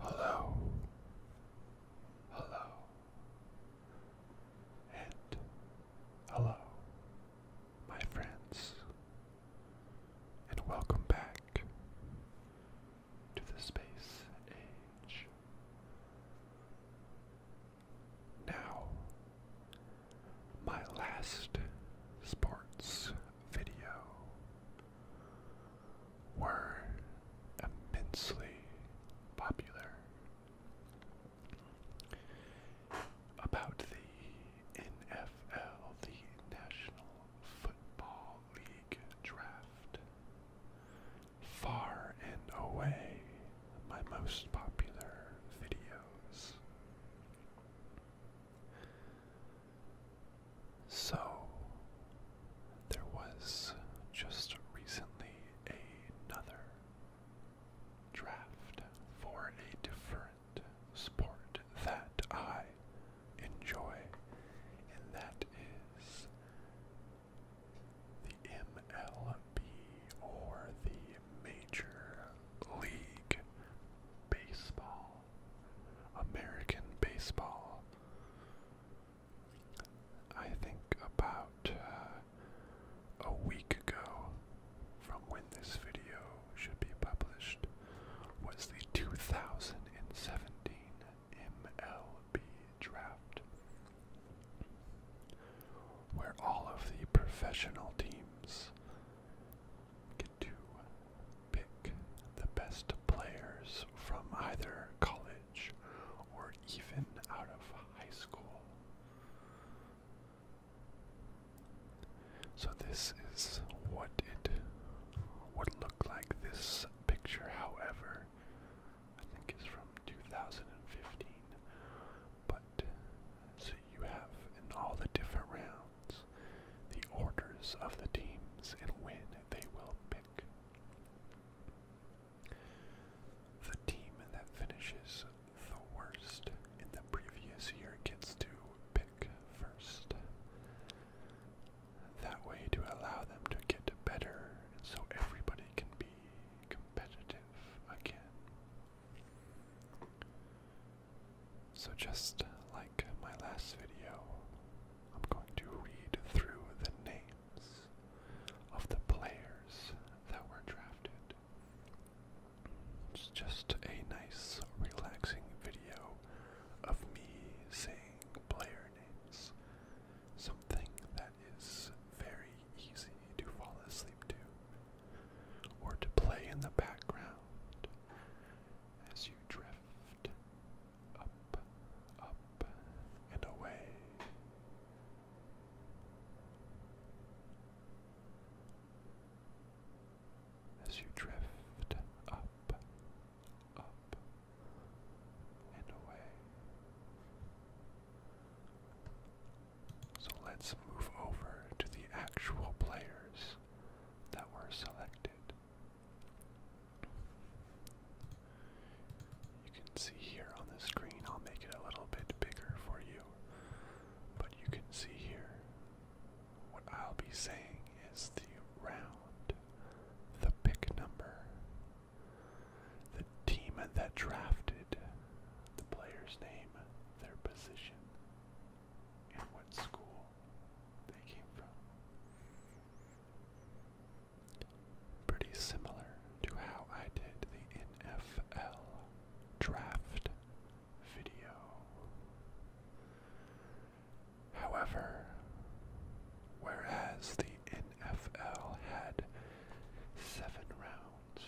Hello, hello, and hello, my friends, and welcome back to the space age. Now, my last sports video were immensely popular about the NFL, the National Football League draft. Far and away, my most popular videos. So, there was just recently another draft for a different sport that I enjoy, and that is the MLB or the Major League Baseball, American Baseball. I think about uh, a week ago from when this video should be published was the 2017 MLB MLB draft, where all of the professional teams get to pick the best players from either college or even out of high school. So this is what it would look like this picture however I think it's from 2015. But so you have in all the different rounds the orders of the teams and when they will pick. The team that finishes the worst in the previous year gets to pick first that way to allow them to get better so everybody can be competitive again. So just like my last video, I'm going to read through the names of the players that were drafted. It's just a nice, relaxing video of me saying player names something that is very easy to fall asleep to, or to play in the background as you drift up, up, and away. As you drift up up and away. So let's move over to the actual players that were selected. You can see here on the screen, I'll make it a little bit bigger for you, but you can see here what I'll be saying is the round, the pick number, the team that drafted the player's name, their position, and what school they came from. Pretty similar to how I did the NFL draft video. However, whereas the NFL had seven rounds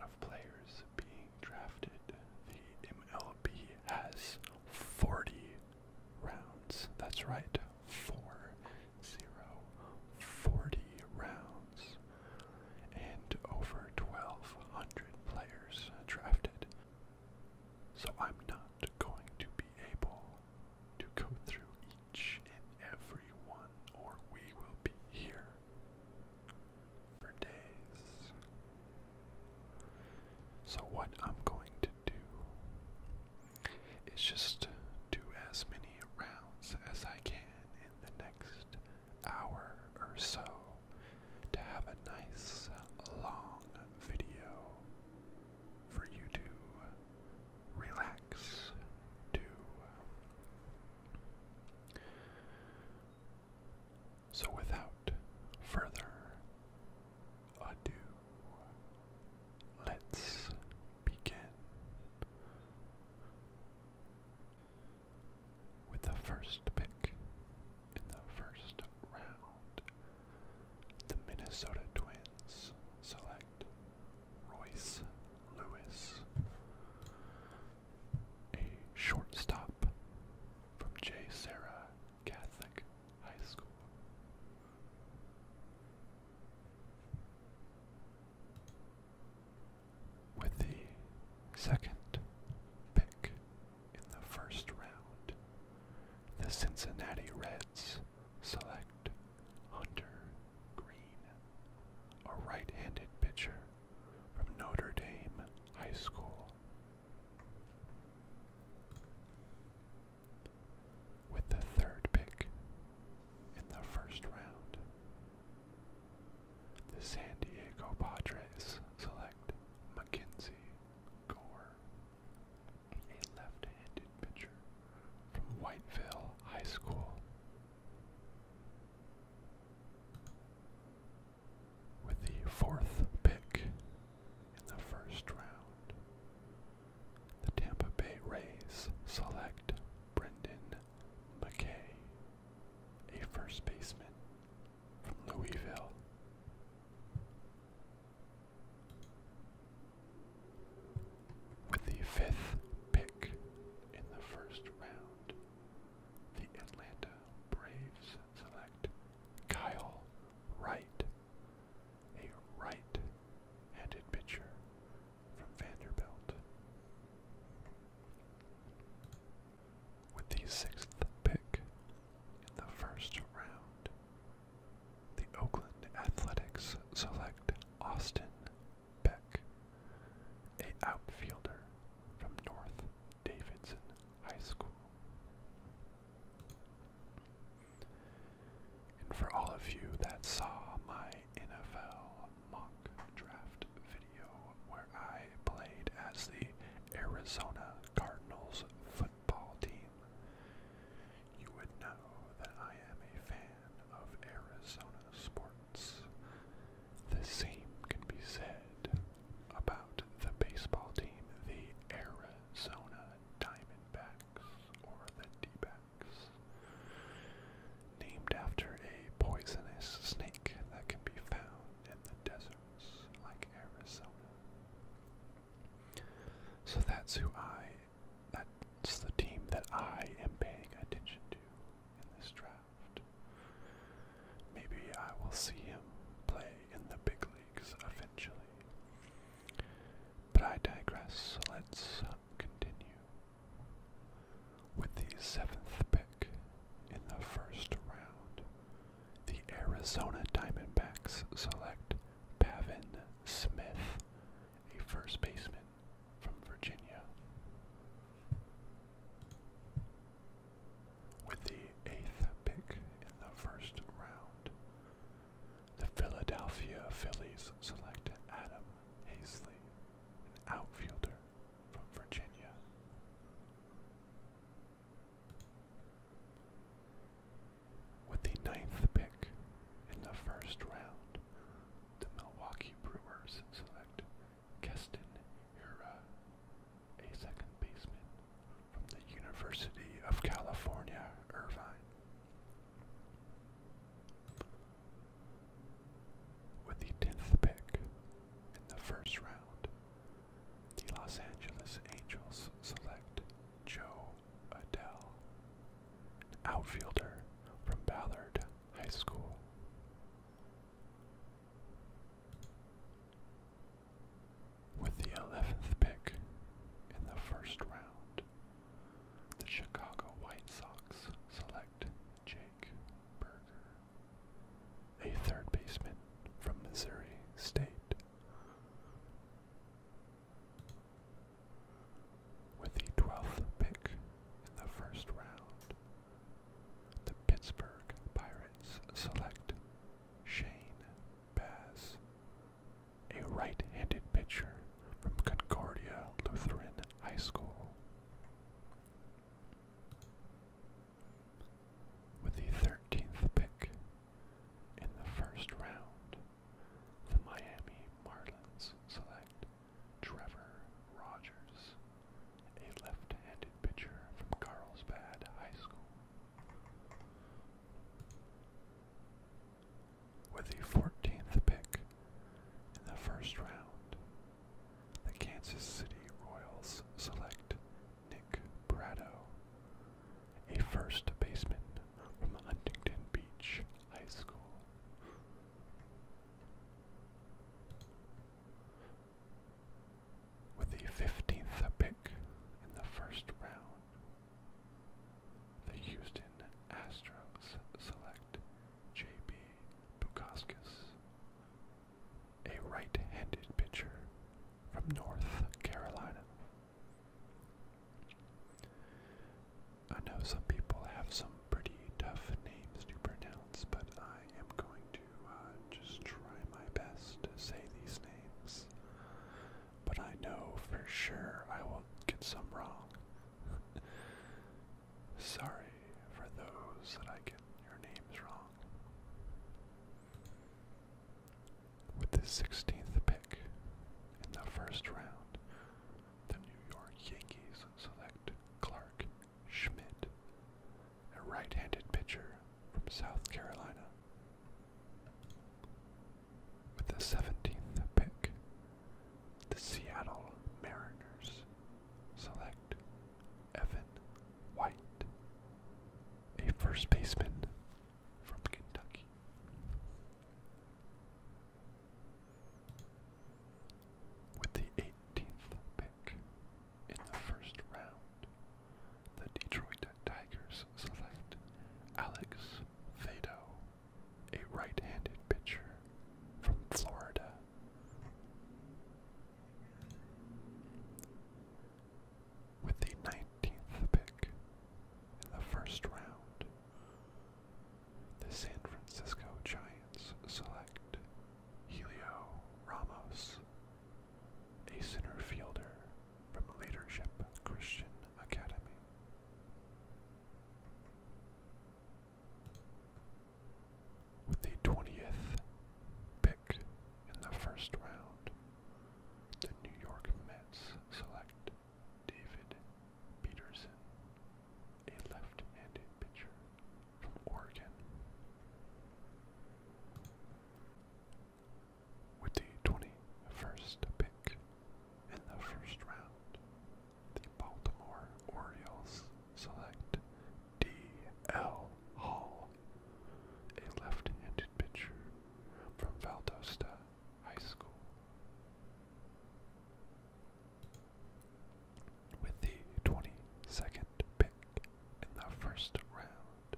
of players being drafted, the MLB has 40 rounds. That's right, four zero, rounds, and over 1,200 players drafted. So I'm not going to be able to go through each and every one, or we will be here for days. So, what I'm going to do is just do as many rounds as I can in the next hour or so to have a nice long video for you to relax to. So, without further ado, let's begin with the first pick in the first round. The Minnesota Twins select Royce Lewis, a shortstop from J. Sarah Catholic High School. With the second pick in the first round, the Cincinnati Reds Select Hunter Green, a right-handed pitcher from Notre Dame High School. With the third pick in the first round, the San Diego Padres select Mackenzie Gore, a left-handed pitcher from Whiteville High School. With the fourth pick in the first round, the Tampa Bay Rays select Brendan McKay, a first baseman from Louisville. With the fifth pick in the first round, the Atlanta Braves select Kyle Wright, a right-handed pitcher from Vanderbilt. With the sixth pick in the first round, the Oakland Athletics select Austin Beck, a outfielder from North Davidson High School. And for all of you that saw my NFL mock draft video where I played as the Arizona Cardinals football team, you would know that I am a fan of Arizona sports. The same can be said about the baseball team, the Arizona Diamondbacks, or the D-backs. Named after a poisonous snake that can be found in the deserts like Arizona. So that's who I that's the team that I am paying attention to in this draft. Maybe I will see him play in the big leagues eventually. But I digress. Let's um, continue with the seventh pick in the first round. The Arizona Diamondbacks select Pavin Smith, a first baseman from Virginia. With the eighth pick in the first round, the Philadelphia Phillies select Adam Hazley, an outfielder from Virginia. With the ninth pick in the first round, the Milwaukee Brewers select Keston Hira, a second baseman from the University of California, Irvine. With the tenth pick in the first round, the Los Angeles Angels select Joe Adele, outfielder from Ballard High School. With the 11th pick in the first round, the Chicago White Sox select Jake Berger, a third baseman from Missouri State. With the 12th pick in the first round, the Pittsburgh Pirates select Shane Bass, a right handed pitcher from Concordia Lutheran High School. With the 13th pick in the first round, the Miami Marlins select Trevor Rogers, a left-handed pitcher from Carlsbad High School. With the 14th pick in the first round, the Kansas City Royals select Nick Brado, a first baseman from Huntington Beach High School. With the 15th pick in the first round, the Houston Astros select J.B. Bukoskis, a right handed pitcher from North Carolina. I know some people have some pretty tough names to pronounce, but I am going to uh, just try my best to say these names. But I know for sure I will get some wrong. Sorry for those that I get your names wrong with the 16th pick in the first round, the New York Yankees select Clark Schmidt, a right-handed pitcher from South Carolina. With the 17th pick, the Seattle Mariners select Evan White, a first baseman from Kentucky. With the 18th pick in the first round, the Detroit Tigers select Alex Fado, a right handed pitcher from Florida. With the 19th pick in the first round, the San Francisco Giants select Helio Ramos, a center fielder from Leadership Christian Academy. With the 20th pick in the first round, the New York Mets select David Peterson, a left-handed pitcher from Oregon. With the 21st pick in the first round, the Baltimore Orioles select D.L. Hall, a left-handed pitcher from Valdosta, high school. With the 22nd pick in the first round,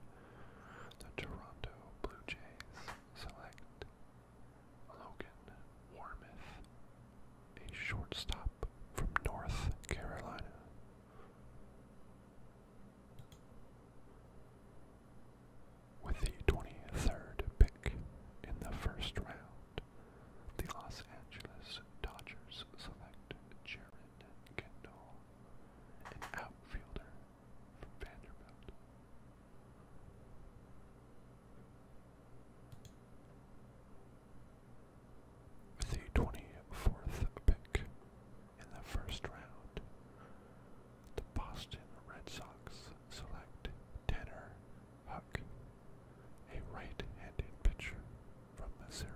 the Toronto Blue Jays select Logan Warmith, a shortstop from North Carolina. With the 23rd pick in the first round, the Los Angeles Dodgers select Jared Kendall, an outfielder from Vanderbilt. With the 24th pick in the first round, the Boston Red Sox select Tanner Huck, a right-handed pitcher from Missouri.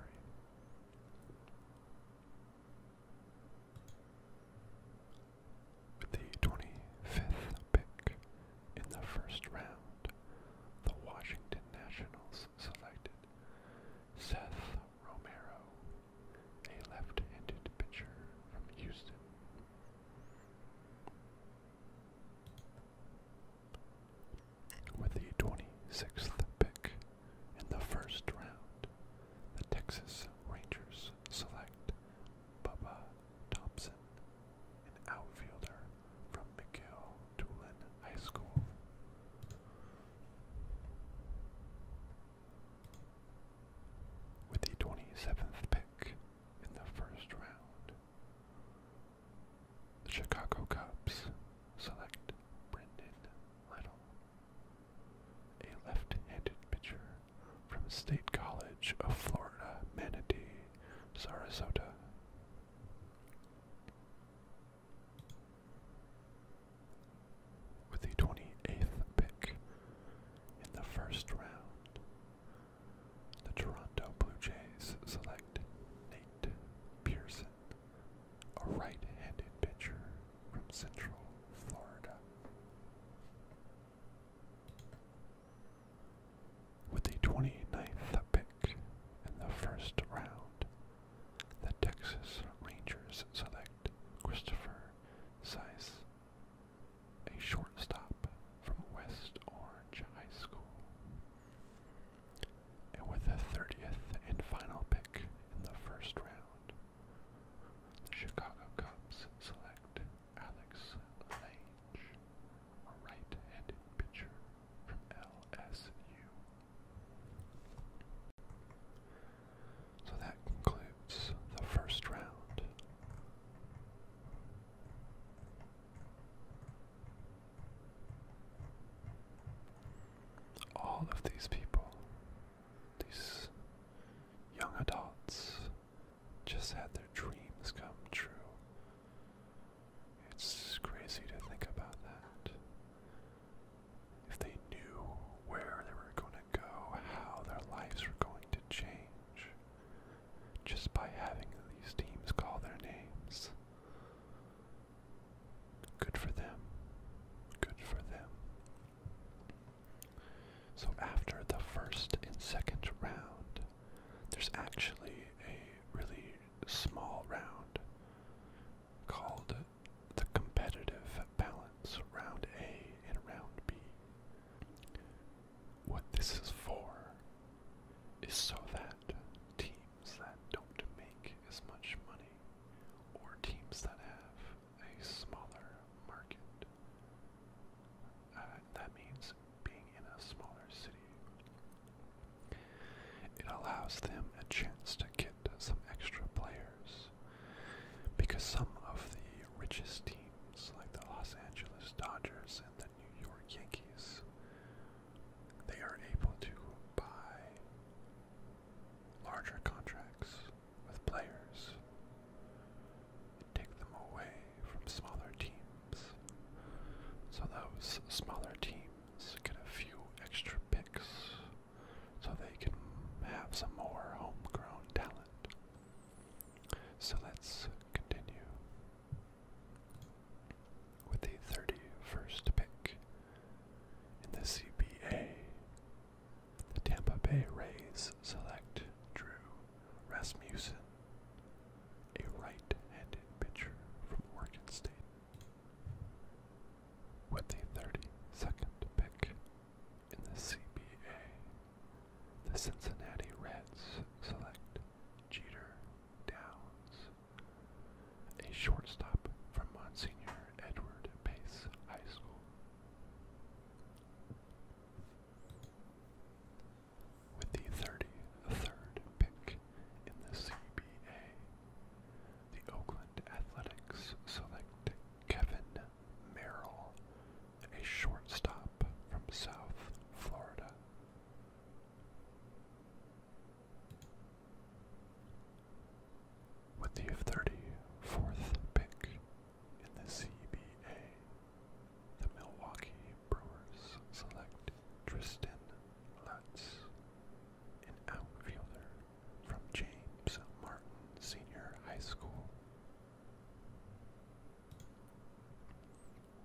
With the 25th pick in the first round, the Washington Nationals selected Seth Romero, a left-handed pitcher from Houston. With the 26th pick in the first round, the Texas Rangers select Bubba Thompson, an outfielder from McGill Doolin High School. With the 27th pick in the first round. The Chicago Cubs select Brendan Little, a left-handed pitcher from State College of Florida, Manatee, Sarasota. With the 28th pick in the first round, the Toronto Blue Jays select Nate Pearson, a right-handed pitcher from Central Florida. With the 29th pick in the first round, the Texas Rangers select Christopher Sice, a shortstop from West Orange High School. And with the 30th and final pick in the first round, the Chicago Cubs select Alex Lange, a right-handed pitcher from LSU. So that concludes the first round. All of these people, these young adults, just had their dreams come true. It's crazy to think about that. If they knew where they were going to go, how their lives were going to change, just by having these teams call their names. Good for them. Good for them. So after the first and second round, there's actually a really small round called the competitive balance round A and round B. What this is for is so that teams that don't make as much money or teams that have a smaller market, uh, that means being in a smaller city, it allows them a chance to get some extra players because some of the richest teams teams like the Los Angeles Dodgers and the New York Yankees, they are able to buy larger contracts with players and take them away from smaller teams. So those smaller teams get a few extra picks so they can have some more homegrown talent. So let's continue with the 31st pick in the CBA. The Tampa Bay Rays select Drew Rasmussen, a right-handed pitcher from Oregon State. With the 32nd pick in the CBA, the Cincinnati Reds select Jeter Downs, a shortstop from Monsignor Edward Pace High School. With the 33rd pick in the CBA, the Oakland Athletics select Kevin Merrill a shortstop from South Florida. With the 34th pick in the CBA, the Milwaukee Brewers select Tristan Lutz, an outfielder from James Martin Senior High School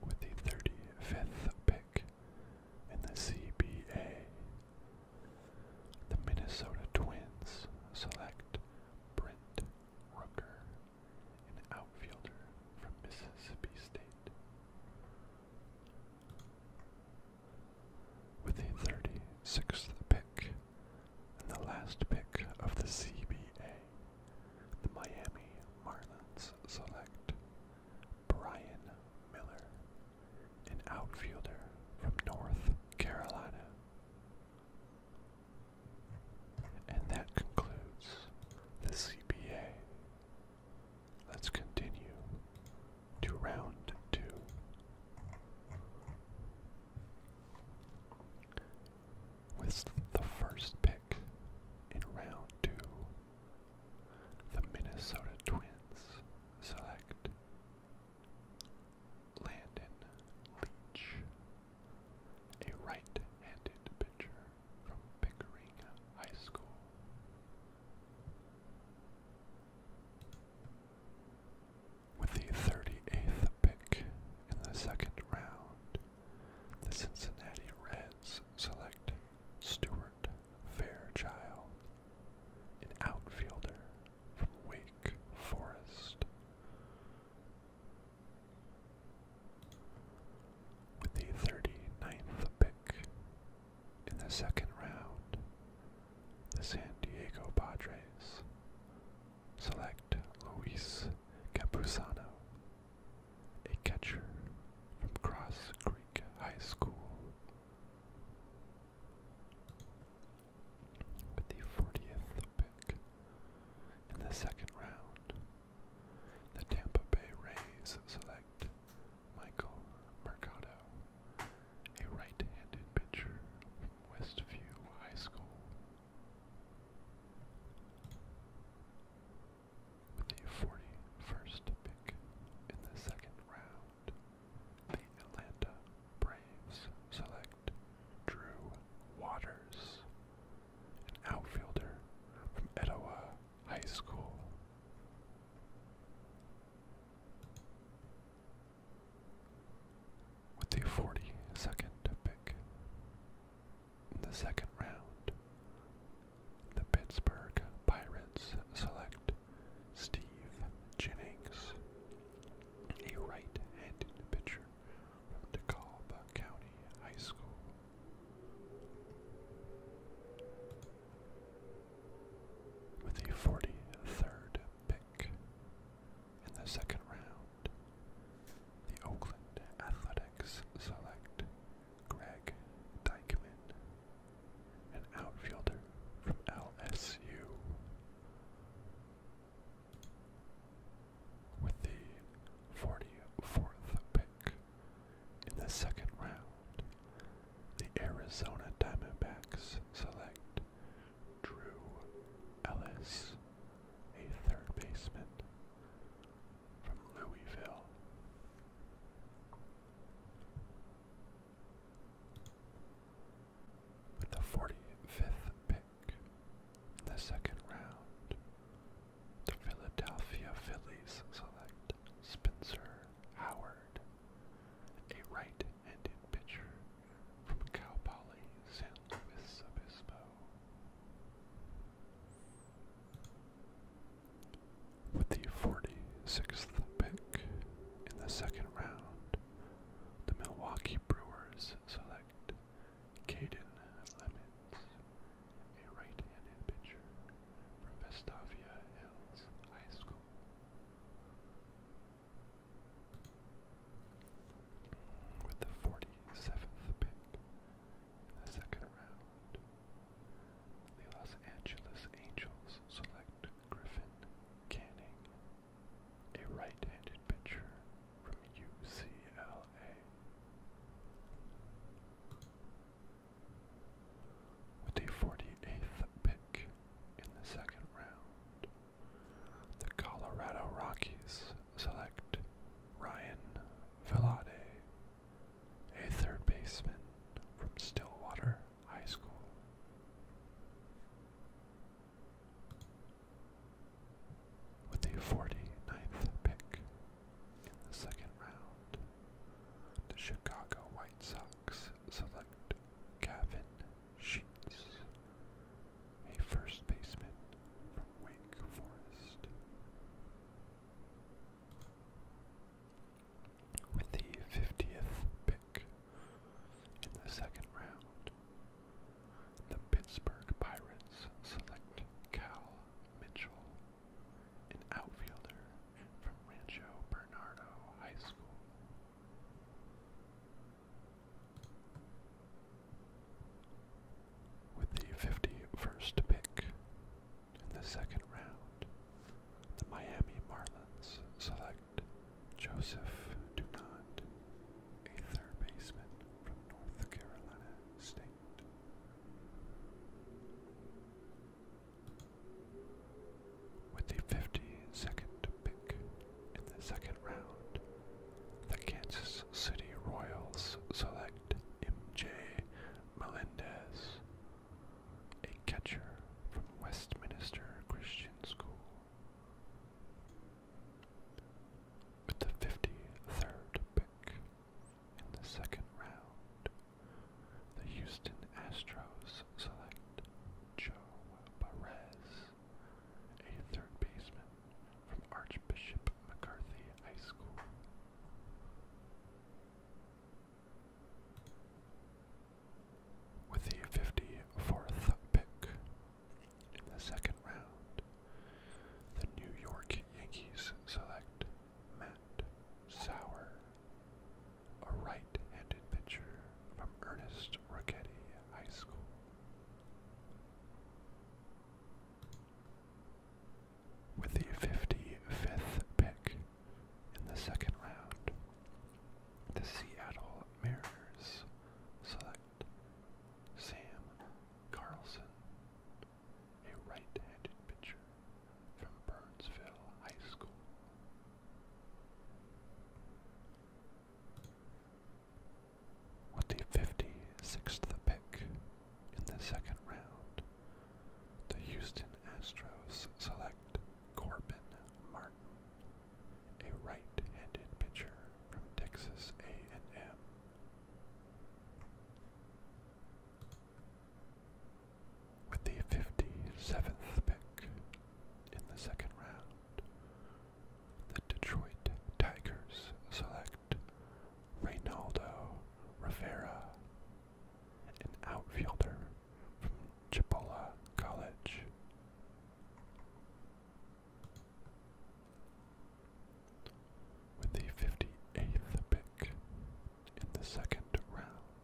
with the 35th pick in the CBA. The Minnesota Twins select Brent Rucker, an outfielder from Mississippi State. With the 36th pick and the last pick of the CBA, the Miami Marlins select Brian Miller, an outfielder from North Carolina. And that concludes the CBA. Let's continue to round two with the first pick in round two, the Minnesota Twins select Landon Leach, a right-handed pitcher from Pickering High School. With the 38th pick in the second round, the Cincinnati Reds select Stewart Fairchild, an outfielder from Wake Forest. With the 39th pick in the second round, the San Diego Padres select select Luis Campuzano, a catcher from Cross Creek High School. With the 40th pick in the second round, the Tampa Bay Rays select Michael Mercado, a right handed pitcher from Westview High School. With the 41st pick in the second round, the Atlanta Braves select Drew Waters, an outfielder from Etowah High School. With the 42nd pick in the second round, the Pittsburgh Pirates select Steve Jennings, a right-handed pitcher from DeKalb County High School. With a 43rd pick in the second round, the Oakland Athletics select Greg Dykeman, an outfielder from LSU. With the 44th pick in the second round, the Arizona Diamondbacks select Drew Ellis, a third baseman from Louisville. With the 45th pick in the second round, the Philadelphia Phillies select Spencer Howard, a right-handed pitcher from Cal Poly San Luis Obispo. With the 46th pick in the second round, the Milwaukee Brewers select Caden Lemons, a right-handed pitcher from Vestavia Hills High School. With the 47th pick in the second round, the Los Angeles Angels select Griffin Canning, a right-handed pitcher from UCLA. With the 48th pick in the second round, the Colorado Rockies select Ryan Velade, a third baseman from Stillwater High School. With the 49th pick in the second round, the Chicago White Sox select Gavin Sheets, a first baseman from with the 50th pick in the second round, the Pittsburgh Pirates select Cal Mitchell, an outfielder from Rancho Bernardo High School with the 51st pick in the second round. The Miami Marlins select Joseph Dunant, a third baseman from North Carolina State. With the 52nd pick in the second round, the Kansas City Royals select MJ Melendez, a catcher from Westminster Christian School. With the 53rd pick in the second round, the Houston Astros select Joe Perez, a third baseman from Archbishop McCarthy High School. With the 54th pick in the second round, the New York Yankees select Matt Sauer, a right handed pitcher from Ernest Ricketty High School with the 55th pick in the second round. The Seattle Mariners select Sam Carlson, a right-handed pitcher from Burnsville High School with the 56th pick in the second round. The Houston Astros select Corbin Martin, a right-handed pitcher from Texas A&M. With the 57th pick in the second round, the Detroit Tigers select Reynaldo Rivera, an outfielder from Chipola College. With the 58th pick in the second round,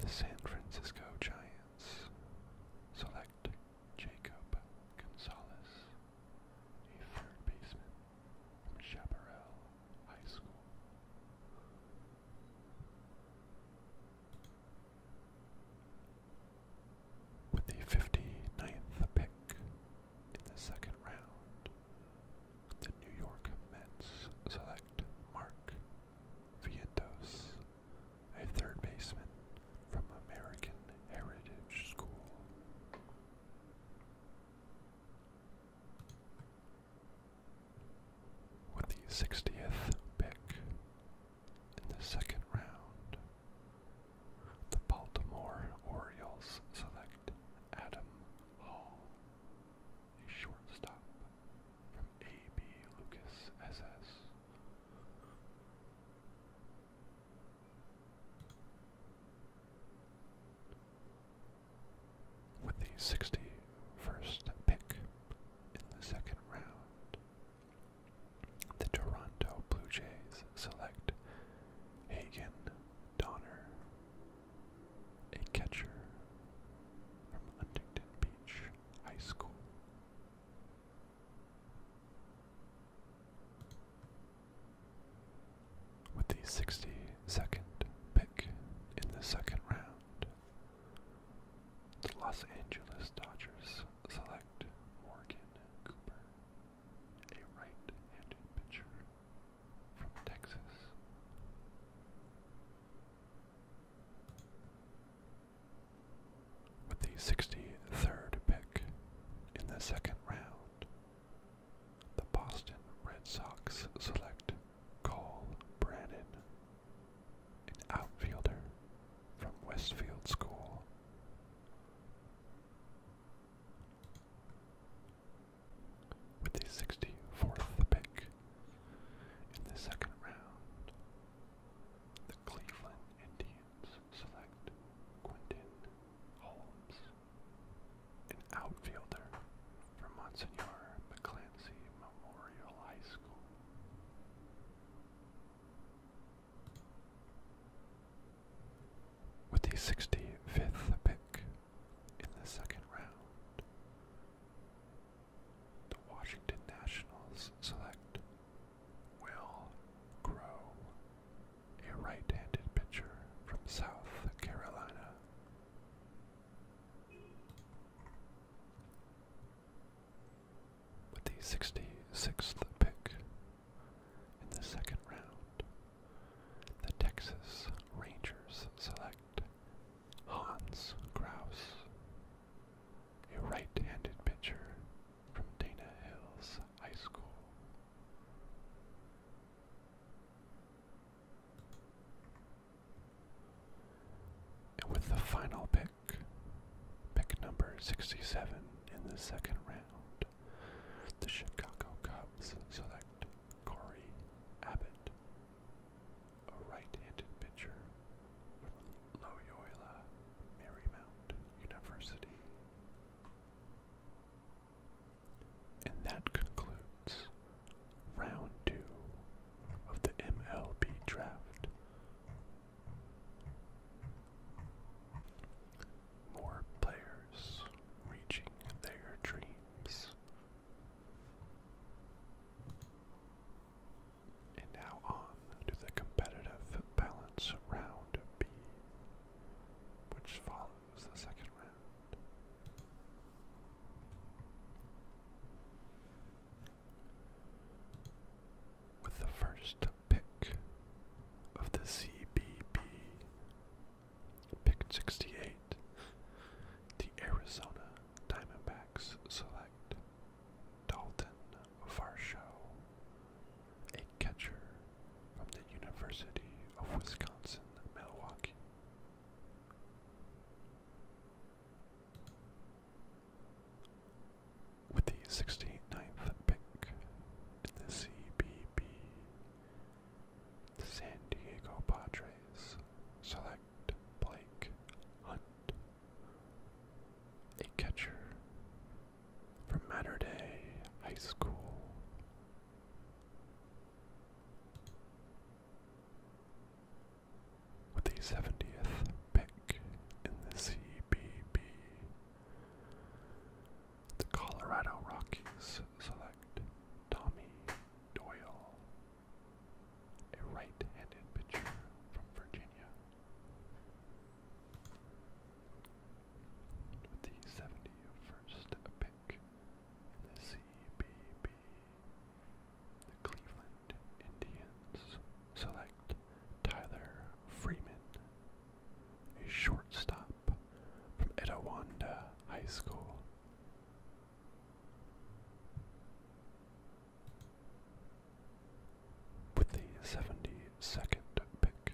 the San Francisco Giants select Jacob Gonzalez a third baseman from Chaparral High School. With the 59th pick in the second round, the New York Mets select Mark Vientos, a third baseman from American Heritage School. With the 60th pick in the second round, the Baltimore Orioles select Adam Hall, a shortstop from A.B. Lucas SS with the 61st pick in the second round. The Toronto Blue Jays select Hagen Donner, a catcher from Huntington Beach High School. With the 62nd pick in the second round, the Los Angeles Dodgers select Morgan Cooper, a right handed pitcher from Texas. With the 63rd pick in the second round, the Boston Red Sox select Cole Brannon, an outfielder from Westfield School. With the 64th pick in the second round, the Cleveland Indians select Quentin Holmes, an outfielder from Monsignor McClancy Memorial High School. With the 65th pick in the second round, the Washington Nationals select Will Grow a right-handed pitcher from South Carolina. With the 66th pick in the second round, the Texas Rangers select Hans Kraus, a right handed pitcher from Dana Hills High School with the final pick, pick number 67 in the second round, the Chicago Cubs select Corey Abbott, a right-handed pitcher from Loyola Marymount University. And that concludes round two of the MLB draft. More players reaching their dreams. And now on to the competitive balance round B, which follows it's the second round. With the first pick of the CBB, pick 68, the Arizona Diamondbacks select Dalton Varsho a catcher from the University of Wisconsin Milwaukee. With the 69th pick in the CBB, the San Diego Padres select Blake Hunt, a catcher from Matter Day High School. With the 70th pick in the CBB, the Colorado Rockies select Tommy Doyle, a right handed pitcher from Virginia with the 71st pick in the CBB. The Cleveland Indians select Tyler Freeman, a shortstop from Itawanda High School. With the 72nd pick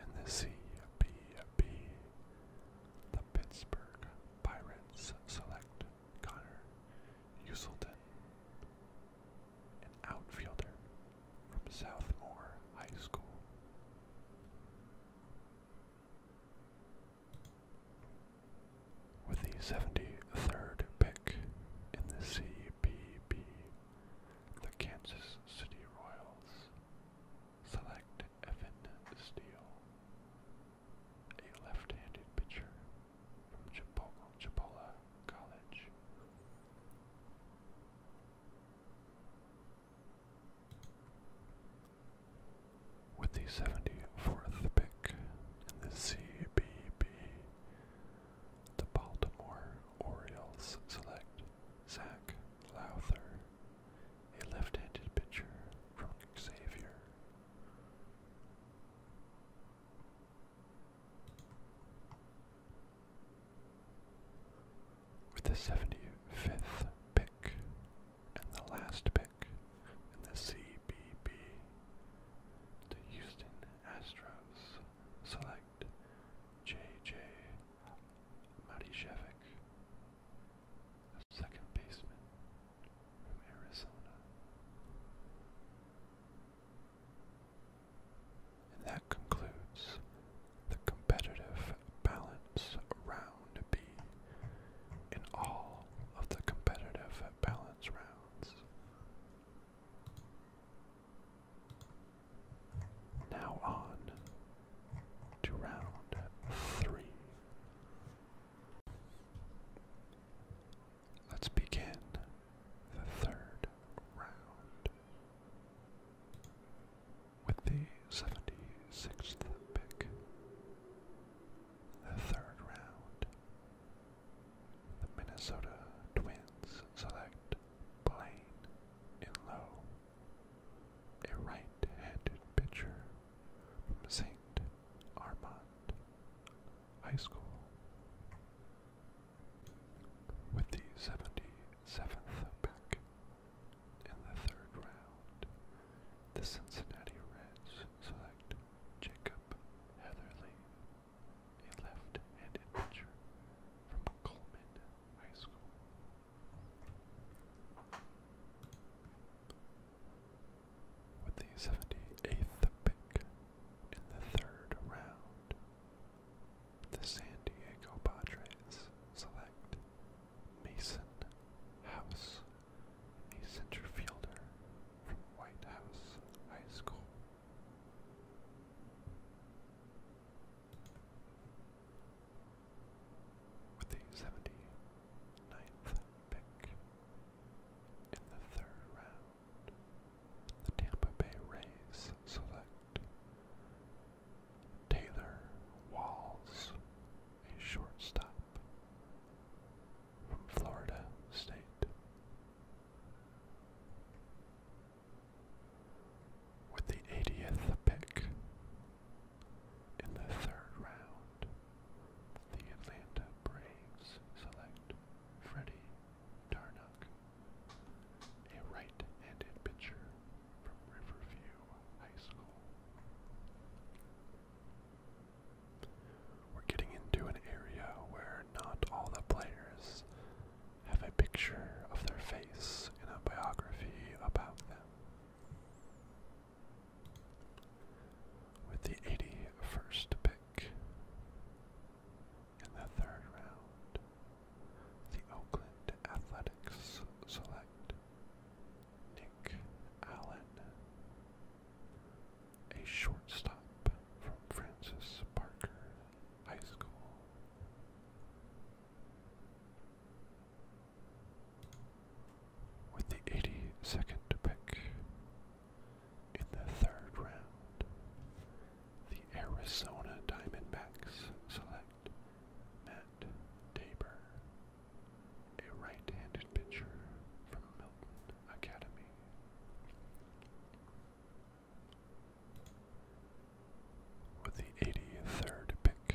and the CBB. The Pittsburgh Pirates select Connor Uselton, an outfielder from Southmore High School. With the 73rd pick in the CBB, the Kansas City Royals Select Evan Steele, a left-handed pitcher from Chipola, College. With the 74th pick in the CBB, the Baltimore Orioles select Zach Lowther, a left-handed pitcher from Xavier. With the 75th pick and the last pick in the CBB, the Houston Astros select J.J. Matijevic, a second baseman from Arizona. And that concludes the competitive balance round B. In all of the competitive balance rounds. Now on to round three. Let's begin the third round with the 76th pick. The third round, the Minnesota Twins select Blaine in low a right-handed pitcher from St. Armand High School. With the 77th pick in the third round, the Cincinnati Reds select Jacob Heatherly, a left-handed pitcher from Colman High School. With the 78th pick in the third round, the San Diego Padres select Mason House, a center fielder from White House High School with the 79th pick in the third round, the Tampa Bay Rays select Taylor Walls, a shortstop from Florida State with the 80th pick in the third round. The Atlanta Braves select Freddie Darnock, a right-handed pitcher from Riverview High School. We're getting into an area where not all the players have a picture of their face in a biography about them with the 81st pick in the third round. The Oakland Athletics select Nick Allen, a shortstop from Francis Parker High School with the 82nd pick in the third round, the Arizona Diamondbacks select Matt Tabor, a right-handed pitcher from Milton Academy with the 83rd pick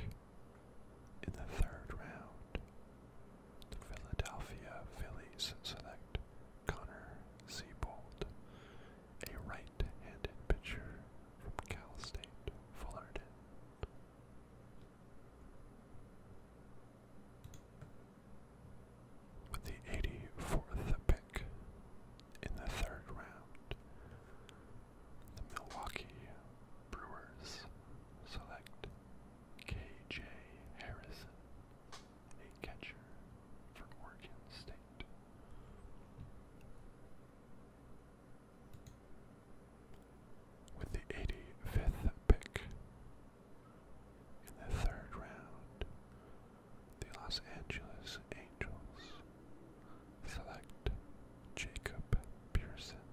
in the third round. The Philadelphia Phillies select Connor Siebold, a right-handed pitcher from Cal State Fullerton. With the 84th pick in the third round, the Milwaukee Brewers select K.J. Harrison, a catcher for Oregon State. With the 85th pick in the third round, the Los Angeles Angels select Jacob Pearson,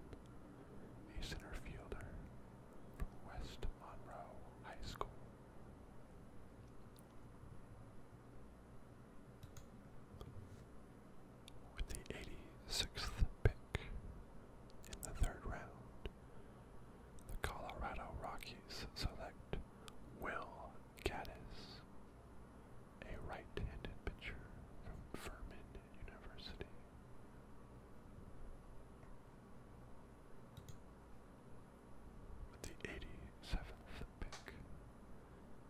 a center fielder from West Monroe High School. With the 86th pick in the third round, the Colorado Rockies select Will Gaddis, a right-handed pitcher from Furman University. With the 87th pick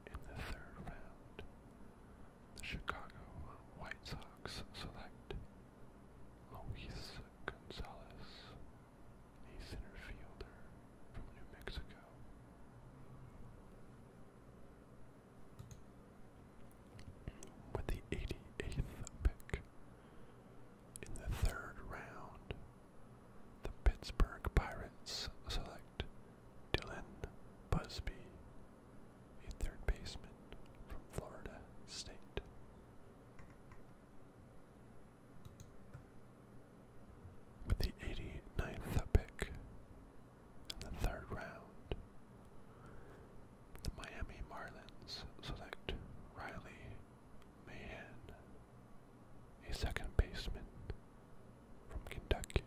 in the third round, the Chicago White Sox select Luis Gonzalez, a center fielder from New Mexico with the 88th pick in the third round. The Pittsburgh Pirates select Dylan Busby, a third baseman from Florida State. With the 89th pick in the third round, the Miami Marlins select Riley Mahan, a second baseman from Kentucky.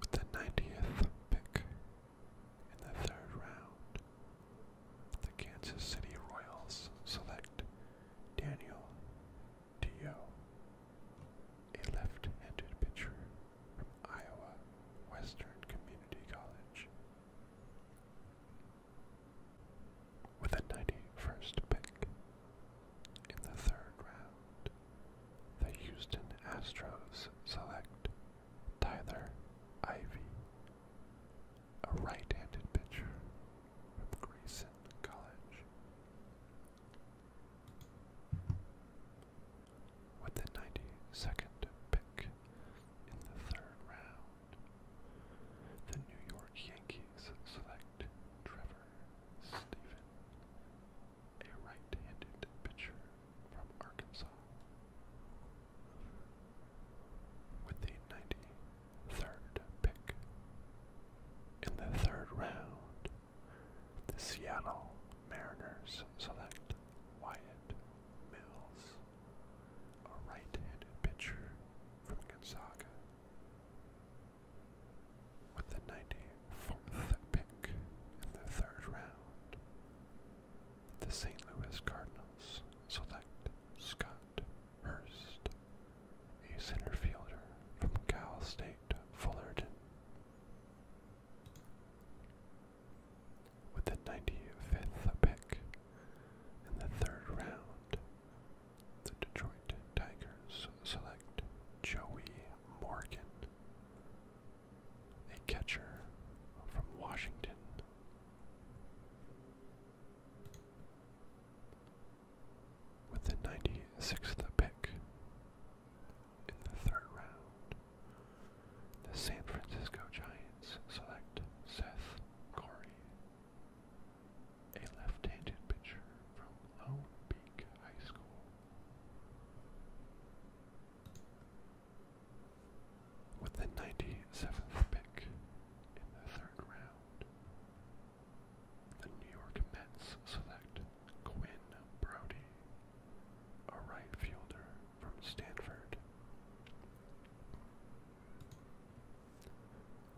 With the 90th pick in the third round, the Kansas City Royals select Daniel Dio, a left-handed pitcher from Iowa Western Community College. With a 91st pick in the third round, the Houston Astros select Tyler Ivy a right-handed pitcher from Grayson College. With the 92nd pick in the third round, the New York Yankees select Trevor Stephen, a right-handed pitcher from Arkansas with the 93rd pick. In the third round, the Seattle Mariners select Wyatt Mills, a right-handed pitcher from Gonzaga. With the 94th pick in the third round, the St. Louis Cardinals select Scott Hurst, a center fielder from Cal State Fullerton. With the 95th pick in the third round, the Detroit Tigers select Joey Morgan, a catcher from Washington. With the 96th pick in the third round, the San Francisco Giants select Seth Corey, a left-handed pitcher from Lone Peak High School. With the 97th pick in the third round, the New York Mets select Quinn Brody, a right fielder from Stanford.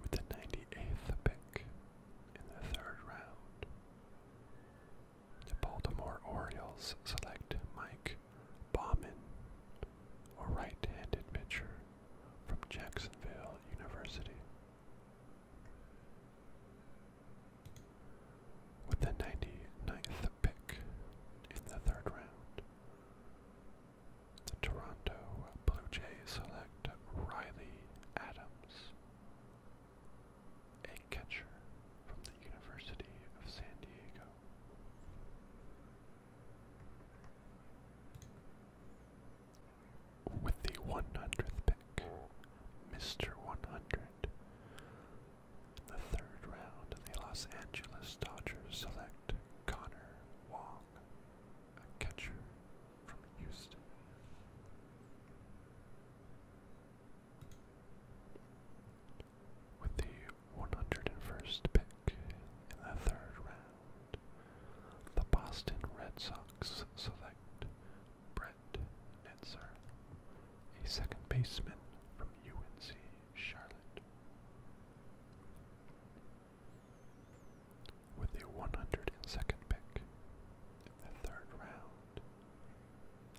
With the 98th pick in the third round, the Baltimore Orioles select Mike Bauman, a right handed pitcher from Jacksonville University. With the 99th pick in the third round, the Toronto Blue Jays select Riley Adams, a catcher from the University of San Diego. With the 100th pick, Mr. 100, in the third round, the Los Angeles Dodgers select Connor Wong, a catcher from Houston. With the 101st pick in the third round, the Boston Red Sox select Brett Netzer, a second baseman from UNC Charlotte. With a 102nd pick in the third round,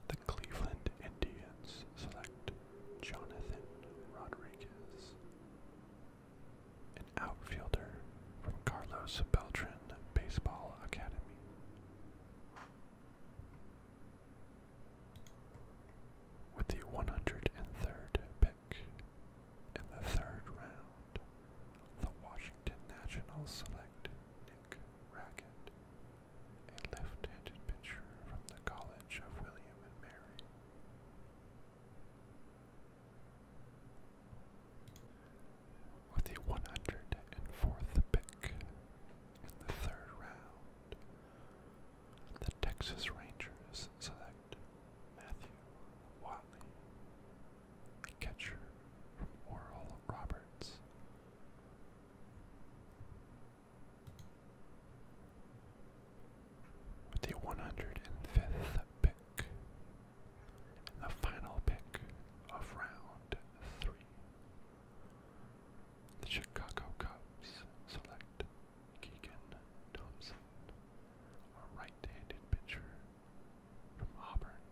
the Cleveland Indians select Jonathan Rodriguez, an outfielder from Carlos Beltran Baseball Academy. With the 103rd pick in the third round, the Washington Nationals select Nick Rackett, a left-handed pitcher from the College of William and Mary. With the 104th pick in the third round, the Texas Rangers select Matthew Watley, catcher from Oral Roberts with the 105th pick, and the final pick of round three. The Chicago Cubs select Keegan Thompson, a right-handed pitcher from Auburn.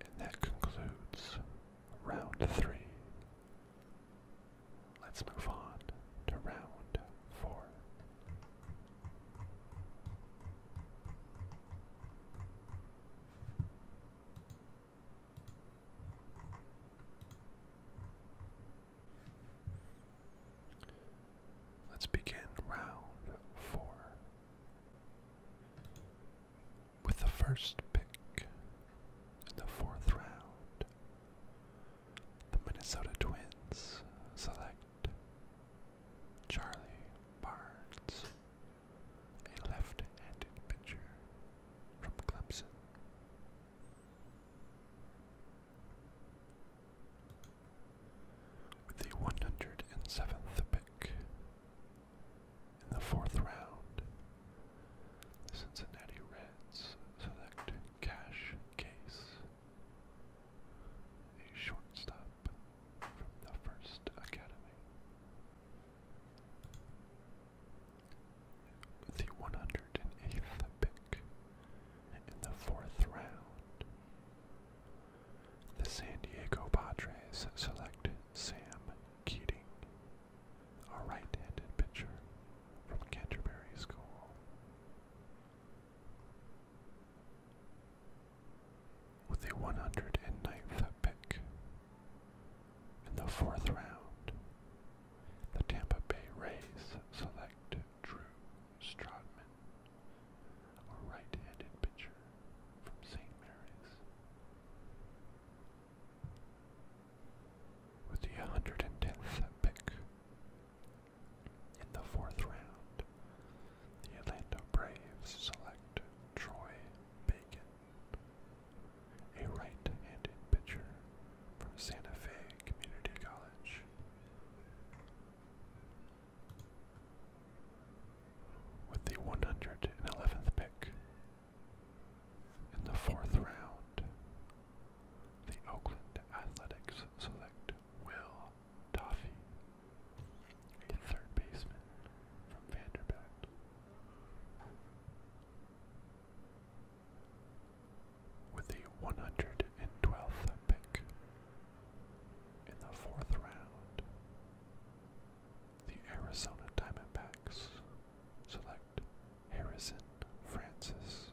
And that concludes round three Let's move on to round four. Let's begin round four with the first pick in the fourth round. The Minnesota Twins select Charlie Barnes, a left-handed pitcher from Clemson. With the 107th pick in the fourth round, the Cincinnati Reds select Cash Case, a shortstop from the first academy. The 108th pick in the fourth round, the San Diego Padres select Sam Keating, a right handed pitcher from Canterbury School. With the 109th pick in the fourth round, the Tampa Bay Rays select Drew Strodman, a right-handed pitcher from St. Mary's. With the 110th pick in the fourth round, the Atlanta Braves select Troy Bacon, a right-handed pitcher from Santa Fe Community College. With the 111th pick in the fourth round, the Oakland Athletics select Will Toffee, a third baseman from Vanderbilt. With the 112th pick in the fourth round, the Arizona Diamondbacks select Harrison Francis,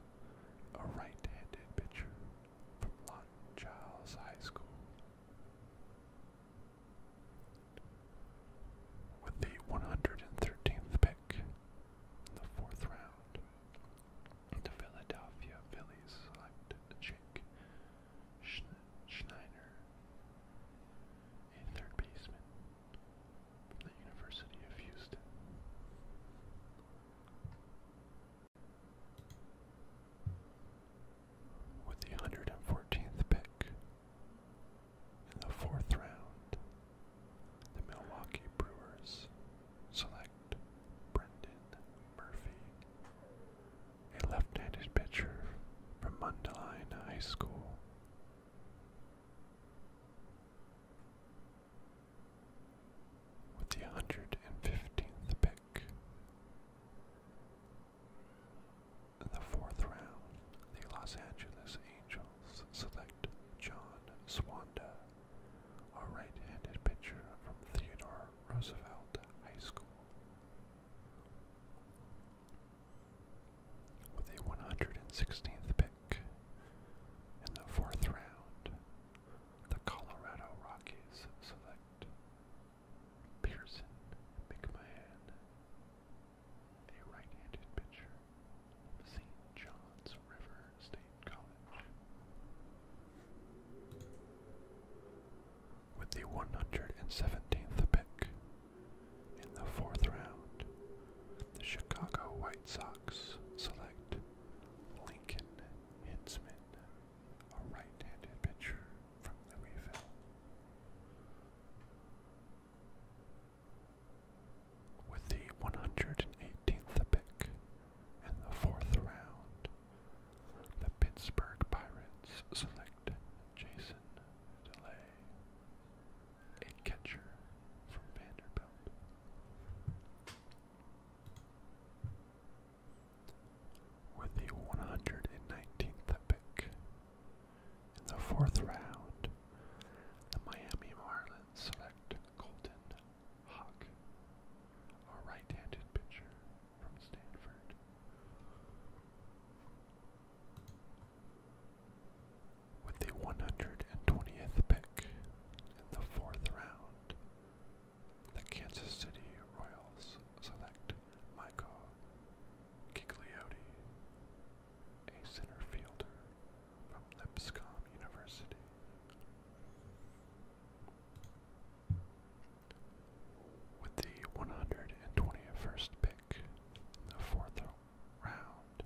a right-handed pitcher from Long Giles High School. With the 113th pick in the fourth round, the Philadelphia Phillies selected Jake Schneider, a third baseman the University of Houston with the 114th pick in the fourth round, the Milwaukee Brewers select Brendan Murphy, a left-handed pitcher from Mundelein High School with the 115th pick in the fourth round, the Los Angeles Angels select John Swanda, a right-handed pitcher from Theodore Roosevelt High School. With the 116th pick in the fourth round, the Colorado Rockies select Pearson McMahon, a right-handed pitcher from St. John's River State College. With the 117th pick in the fourth round, the Chicago White Sox select Lincoln Hinsman, a right-handed pitcher from Louisville. With the 118th pick in the fourth round, the Pittsburgh Pirates select Jason DeLay, a catcher from Vanderbilt. With the 119th pick in the fourth round, the Miami Marlins select Colton Hawk, a right-handed pitcher from Stanford. With the 120th pick in the fourth round, the Kansas City Royals select Michael Gigliotti, a center fielder from Lipscomb University. With the 121st pick the fourth round,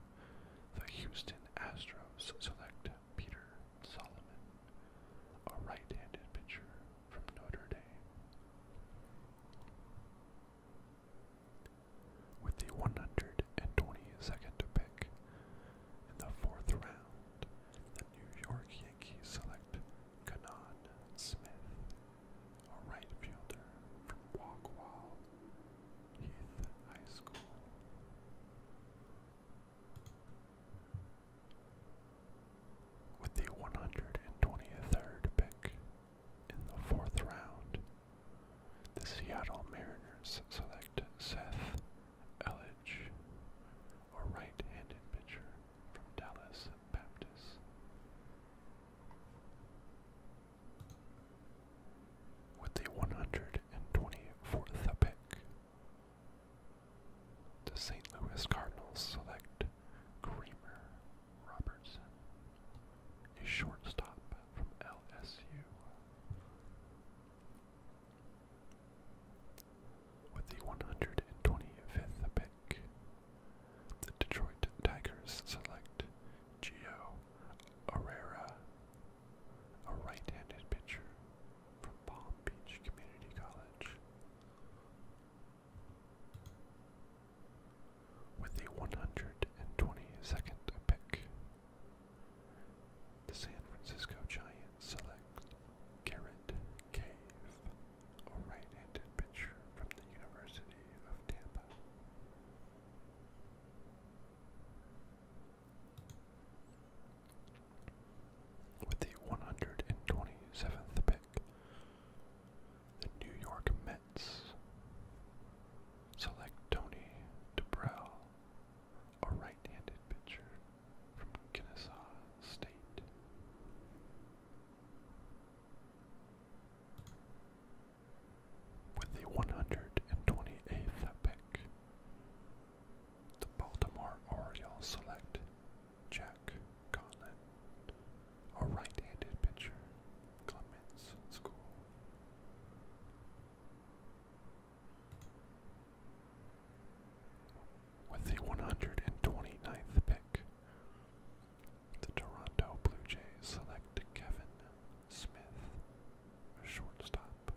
the Houston Astros select Peter Solomon, a right-handed pitcher from Notre Dame. With the 122nd pick in the fourth round, the New York Yankees select Kanan Smith, a right fielder from Waukwa Heath High School. With the 123rd pick in the fourth round, the Seattle Mariners select Seth Elledge, a right-handed pitcher from Dallas Baptist. With the 124th pick the St. Louis Cardinals select Creamer Robertson, a shortstop from LSU. With the 125th pick, the Detroit Tigers select Gio Herrera, a right-handed pitcher from Palm Beach Community College. With a 122nd pick, the San Francisco Giants select Garrett Cave, a right-handed pitcher from the University of Tampa. With the 127th pick, the New York Mets select Tony DeBrell, a right-handed pitcher from Kennesaw State. With the 128th pick, the Baltimore Orioles select Jack Conlon, a right-handed pitcher, Clements School. With the 129th pick, the Toronto Blue Jays select Kevin Smith, a shortstop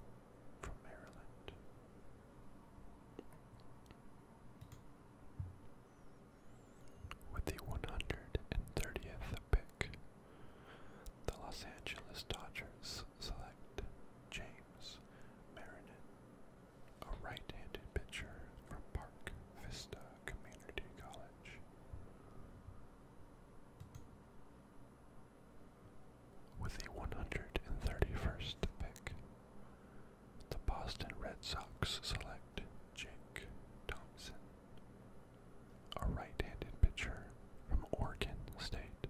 with the 130th pick, the Los Angeles Dodgers select James Marinin, a right-handed pitcher from Park Vista Community College. With the 131st pick, the Boston Red Sox select Jake Thompson, a right-handed pitcher from Oregon State.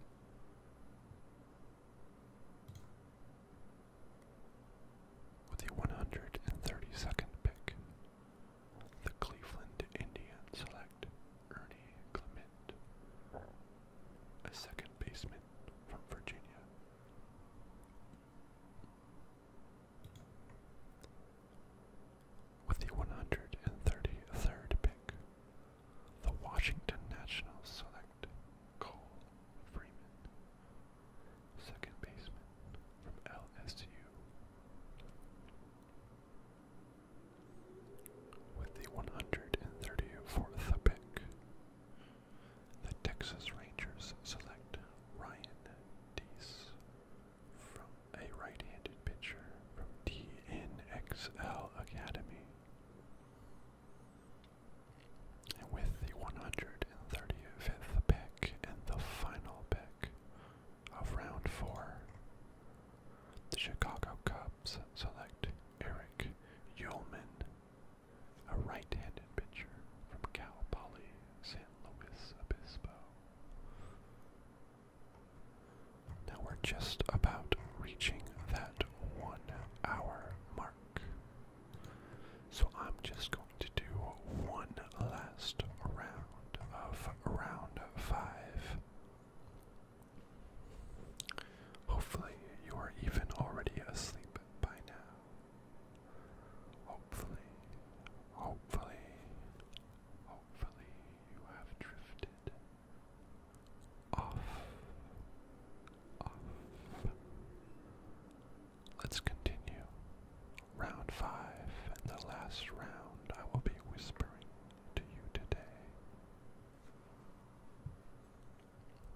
With the 132nd pick, the Cleveland Indians select Ernie Clement, a second baseman from Virginia. With the 133rd pick, the Washington Nationals select Cole Freeman, second baseman from LSU. With the 134th pick, the Texas Rangers select Ryan Dees, from a right-handed pitcher from TNXL Academy. And with the 135th pick and the final pick of round four, the Chicago Cubs select Eric Yeoman, a right-handed pitcher from Cal Poly San Luis Obispo. Now we're just about reaching that one hour mark. So I'm just going to do one last round of round five. Hopefully, you are even already asleep by now. Hopefully, hopefully, hopefully, you have drifted off. Off. Let's continue. Round five, and the last round I will be whispering to you today.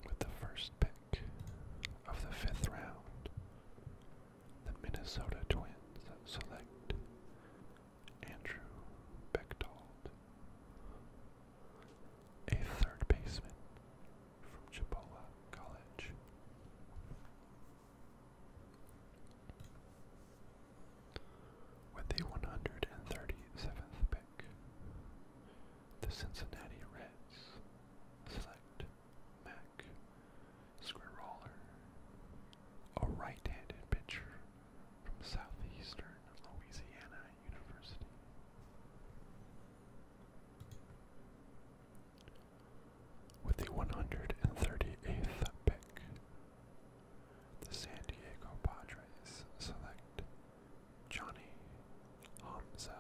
With the first pick of the fifth round, the Minnesota Twins select Andrew Bechtold, a third baseman from Chipola College. With the 137th the Cincinnati Reds. Select Mac Squiroller, a right-handed pitcher from Southeastern Louisiana University. With the 138th pick, the San Diego Padres select Johnny Hamza,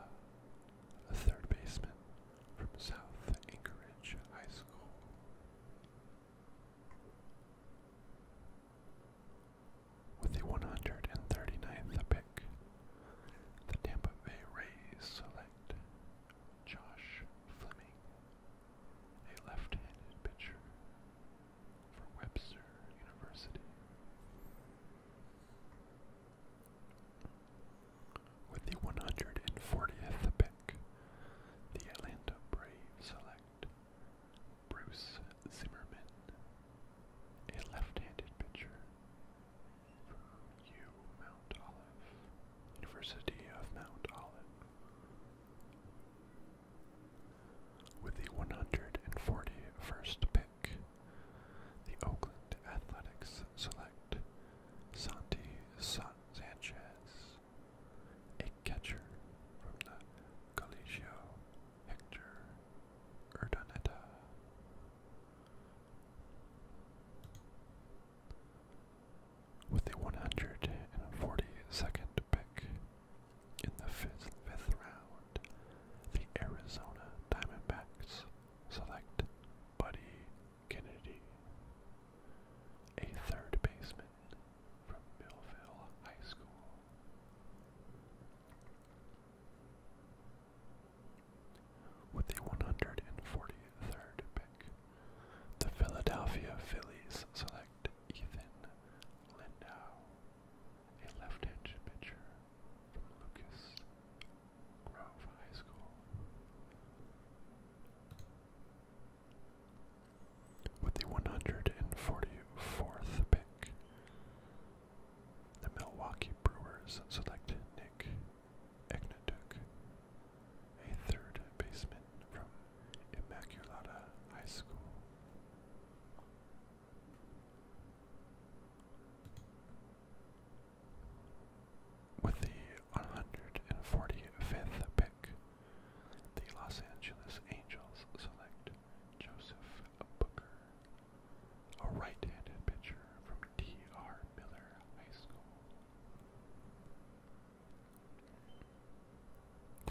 a third baseman from South Anchorage High School. With the 139th pick, the Tampa Bay Rays select Josh Fleming, a left handed pitcher for Webster University. With the 140th pick, the Atlanta Braves select Bruce Zimmerman, a left-handed pitcher from U Mount Olive, University of Mount Olive. With the 141st pick, the Oakland Athletics select Santi Sanchez, a catcher from the Collegio Hector Urdaneta. With the 142nd pick, in the fifth, fifth round, the Arizona Diamondbacks select Buddy Kennedy, a third baseman from Millville High School. With the 143rd pick, the Philadelphia Phillies select Ethan Lindau, a left-handed pitcher from Lucas Grove High School. With the 144th pick, the Milwaukee Brewers select Nick Egnatuk, a third baseman from Immaculata High School. With the 145th pick, the Los Angeles Angels select Joseph Booker, a right-handed pitcher from T.R. Miller High School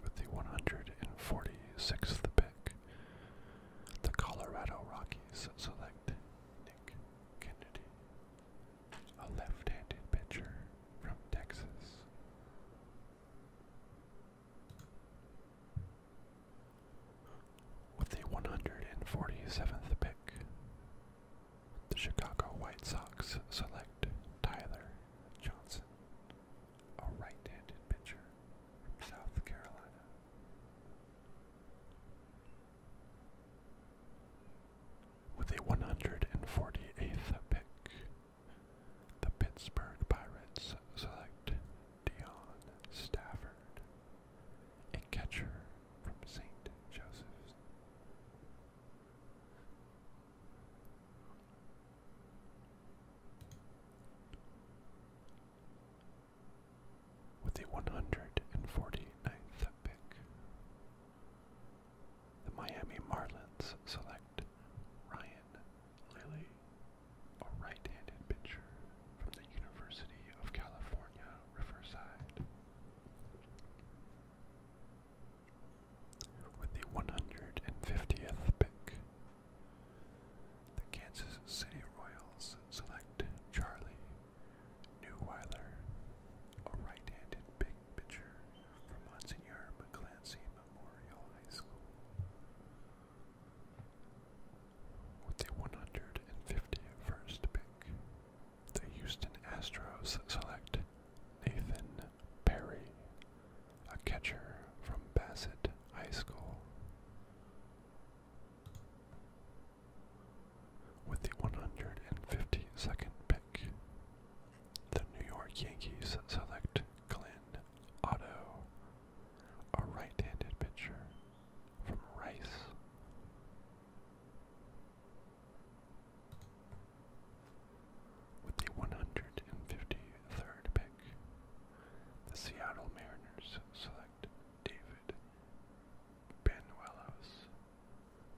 with the 146th pick, the Colorado Rockies select Nick Kennedy, a left-handed pitcher from Texas. With the 147th pick, the Chicago White Sox select Tyler Johnson, a right-handed pitcher from South Carolina. With a 148th pick, the Pittsburgh Pirates select Dion Stafford, a catcher from St. Joseph. With the 149th pick, the Miami Marlins select Ryan Lilly, a right-handed pitcher from the University of California, Riverside. With the 150th pick, the Kansas City Royals select Charlie Newwiler, a right-handed big pitcher from Monsignor McClancy Memorial High School. With the 151st pick, the Houston Astros select Nathan Perry, a catcher from Bassett High School. With the 152nd pick, the New York Yankees select Glenn Otto, a right-handed pitcher from Rice. With the 153rd pick, the Seattle Mariners select David Benuelos,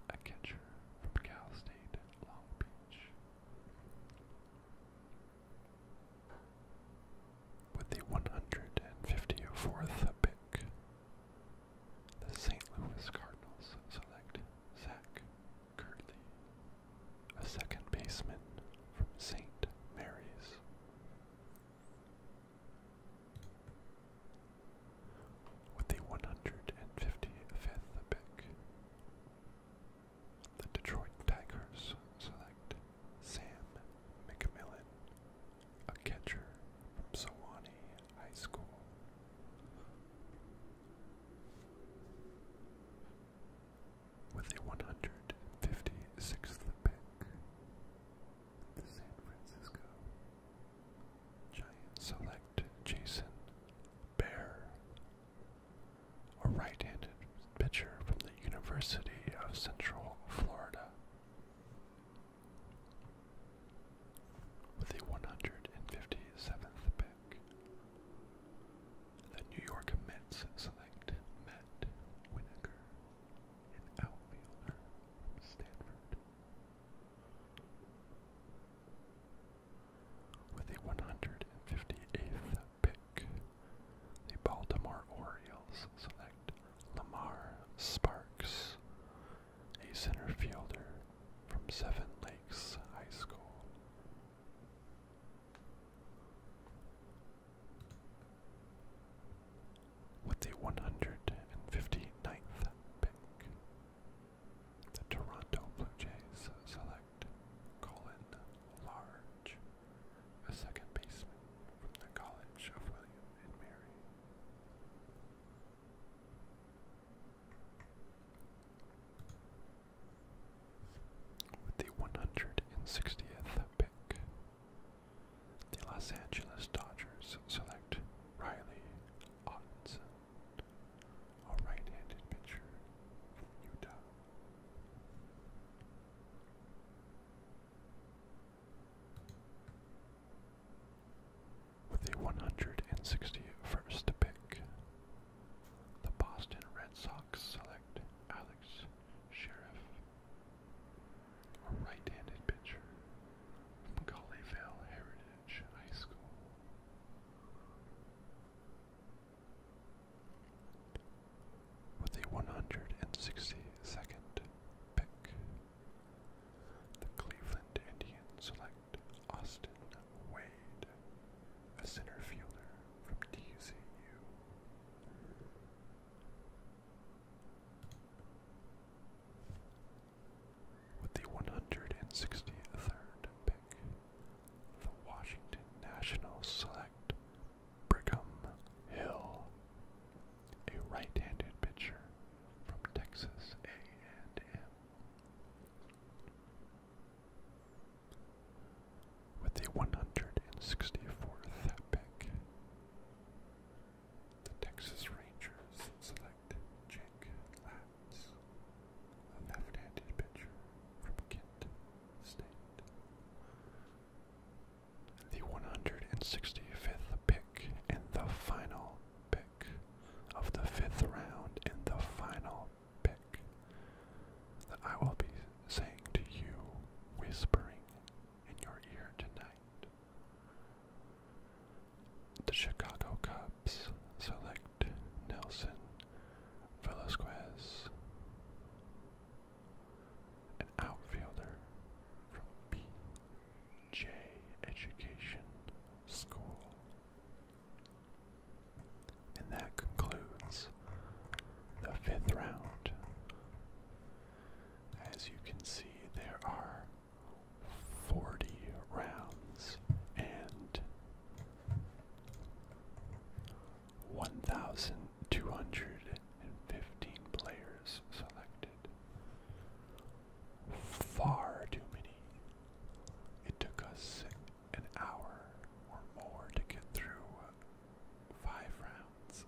a catcher from Cal State Long Beach. With the 154th pick, the St. Louis Cardinals select Zach Curley, a second baseman from St. Mary's. With the 155th pick, the Detroit Tigers select Sam McMillan, a catcher from Sewanee High School with a 156th pick. The San Francisco Giant select Jason Bear, a right-handed pitcher from the University of Central Florida. With a 157th pick, the New York Mets select with a 158th pick, the Baltimore Orioles select Lamar Sparks, a center fielder from Seven Lakes High School. With the 159th pick, the Toronto Blue Jays select Colin Large, a second baseman from the College of William and Mary with the 160th pick. The Los Angeles Dodgers select Riley Ottenson, a right-handed pitcher Utah. With the 161st pick, the Boston Red Sox select Alex sheriff, a right-handed pitcher from Colleyville Heritage High School. With a 162nd pick, the Cleveland Indians select Austin Wade, a center fielder from TCU. With the 163rd pick, the Washington Nationals select Brigham Hill, a right-handed pitcher from Texas A&M with the 164th pick. The Texas Rangers select Jake Latz, a left-handed pitcher from Kent State. The 165th pick in the final pick of the fifth round in the final pick that I will be saying to you, whispering in your ear tonight. The Chicago Cubs select Nelson Velasquez, an outfielder from BJ Education School. And that concludes the fifth round. As you can see, there are 40 rounds and 1,215 players selected. Far too many. It took us an hour or more to get through five rounds.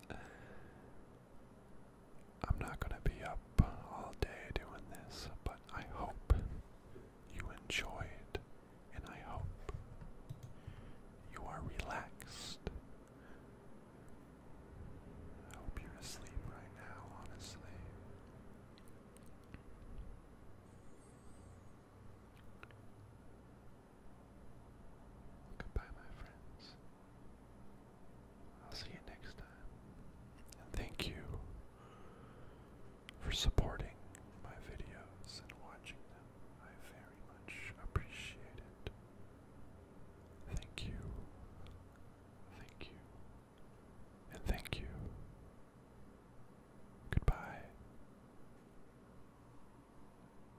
I'm not going to be up all day doing this, but I hope you enjoyed, and I hope you are relaxed. I hope you're asleep right now, honestly. Goodbye, my friends. I'll see you next time. And thank you for supporting my videos and watching them. I very much appreciate it. Thank you. Thank you. And thank you. Goodbye.